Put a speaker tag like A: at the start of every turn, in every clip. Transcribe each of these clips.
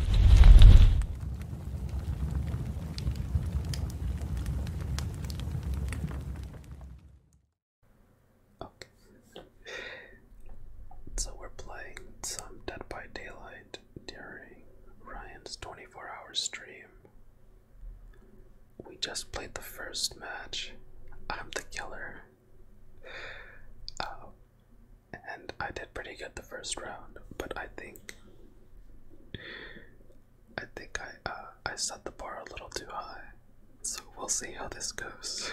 A: Okay. So we're playing some Dead by Daylight during Ryan's 24 hour stream. We just played the first match. I'm the killer. Uh, and I did pretty good the first round, but I think I think I uh, I set the bar a little too high, so we'll see how this goes.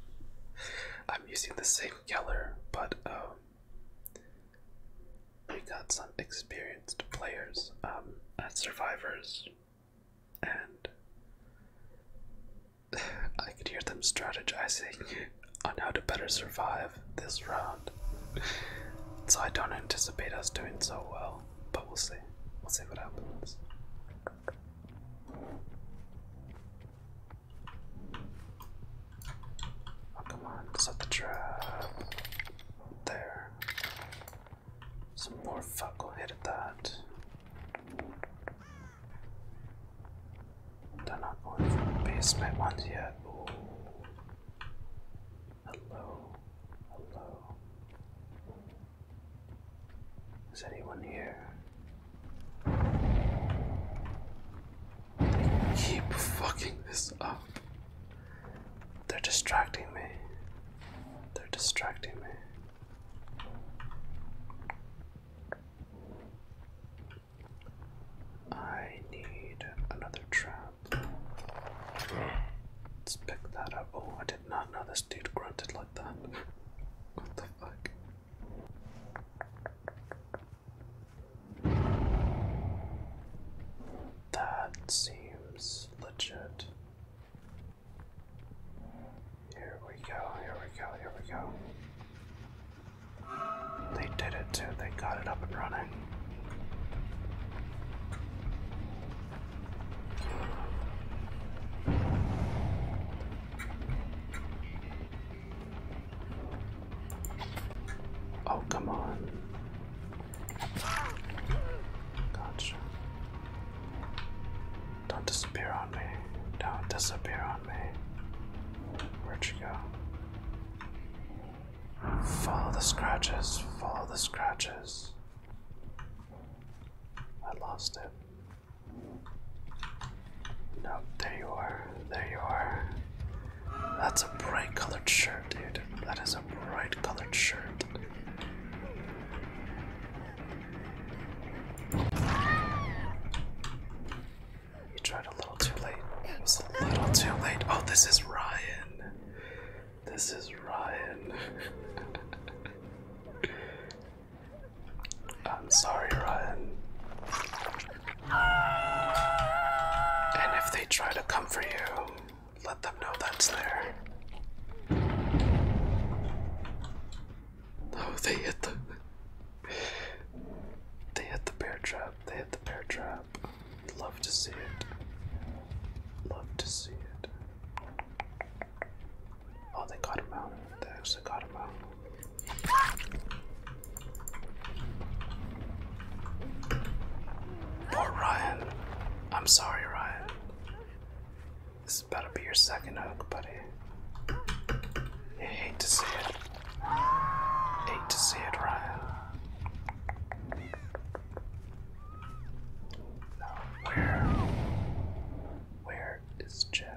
A: I'm using the same color, but um, we got some experienced players um, as survivors, and I could hear them strategizing on how to better survive this round. So I don't anticipate us doing so well, but we'll see. We'll see what happens. Oh, come on, set the trap. There. Some more fuck will hit that. They're not going for the basement ones yet. Hello. Hello. Is anyone here? keep fucking this up. They're distracting me. They're distracting me. I need another trap. Let's pick that up. Oh, I did not know this dude grunted like that. What the fuck? That seems legit. Here we go, here we go, here we go. They did it too, they got it up and running. Oh, come on. Gotcha. Don't disappear on me. Don't disappear on me. Where'd you go? Follow the scratches. Follow the scratches. I lost it. Nope, there you are. There you are. That's a bright colored shirt, dude. That is has bright colored shirt. You tried a little too late. It was a little too late. Oh, this is Ryan. This is Ryan. I'm sorry, Ryan. And if they try to come for you, let them know that's there. Oh, they hit the. They hit the bear trap. They hit the bear trap. Love to see it. Love to see it. Oh, they got him out. They actually got him out. Poor oh, Ryan. I'm sorry, Ryan. This is about to be your second hook, buddy. I hate to see it. Hate to see it, Ryan. Now, where? Where is Jackie?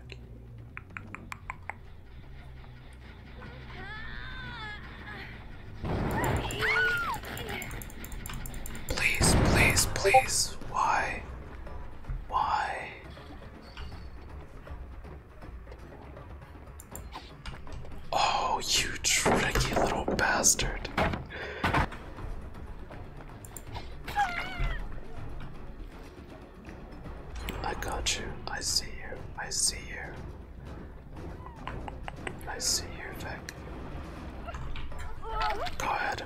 A: Please, please, please. Why? Why? Oh, you tricky little bastard. I got you. I see you. I see you. I see you, Vic. Go ahead.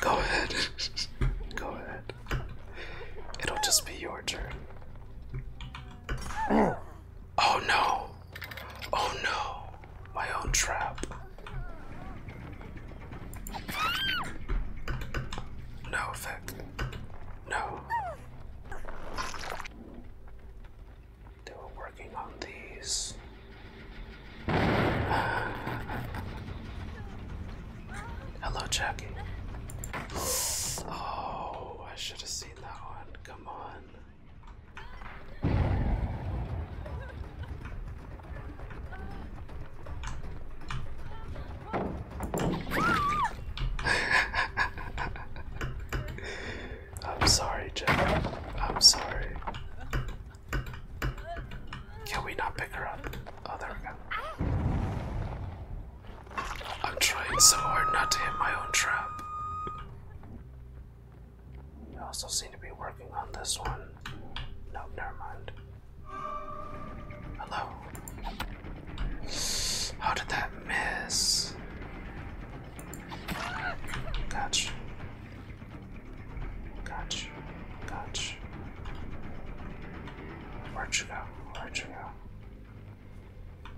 A: Go ahead. Go ahead. It'll just be your turn. Oh no! Oh no! My own trap. No, Vic. No. They were working on these. Hello, Jackie. Oh, I should have seen that one. Come on. I'm sorry, Jack. I'm sorry. Can we not pick her up? Oh, there we go. I'm trying so hard not to hit my own trap. I also seem to be working on this one. No, never mind. Hello. How did that miss? Gotcha. Gotcha. Gotcha. Where'd you go? Where'd you go?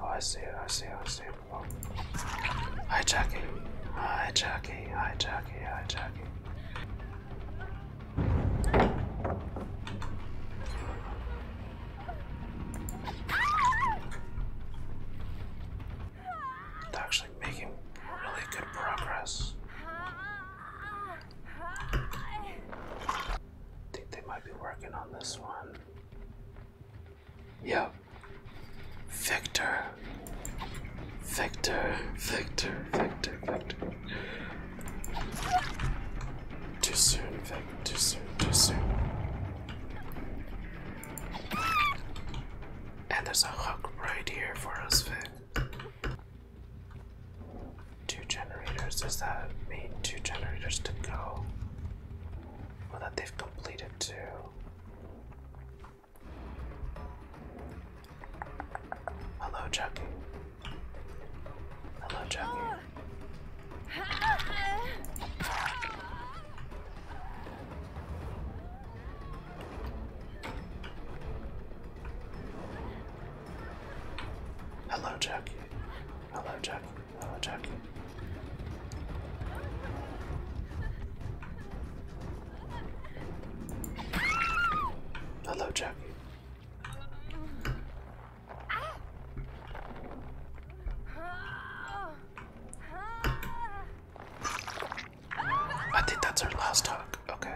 A: Oh, I see it. I see it. I see it. Oh. Hi, Jackie. Hi, Jackie. Hi, Jackie. Hi, Jackie they actually making really good progress. I think they might be working on this one. Yep. Victor. Victor, Victor, Victor, Victor. Too soon, Vic. Too soon, too soon. And there's a hook right here for us, Vic. Two generators. Does that mean two generators to go? Well, that they've completed too. Hello, Chucky. Hello, Chucky. Hello, Chucky. Hello, Chucky. Hello, Chucky. Hello, Jackie. I think that's our last hug. Okay.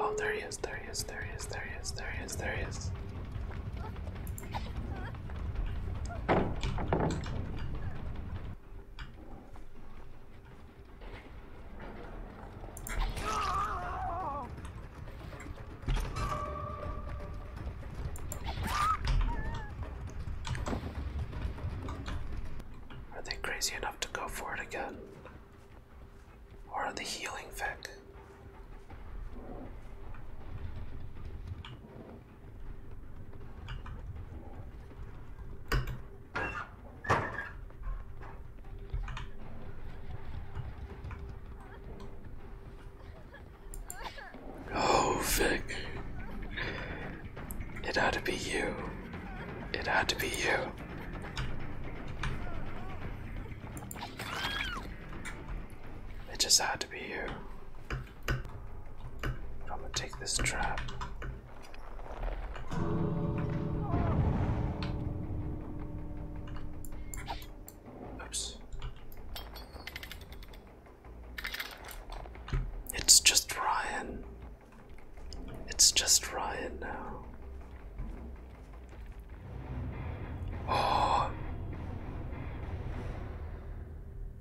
A: Oh, there he is, there he is, there he is, there he is, there he is, there he is. Are they crazy enough to go for it again? Or are the healing Vic? Oh, Vic. It had to be you. It had to be you. It just had to be you. I'm gonna take this trap. Oops. It's just Ryan. It's just Ryan now. Oh.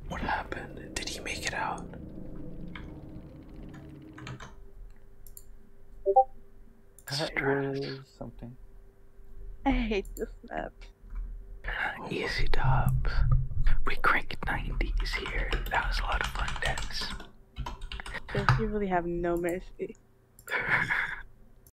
A: What happened? Did he make it out? Stress. Something. I hate this map. Easy dubs. We crank 90s here. That was a lot of fun, Dance. You really have no mercy.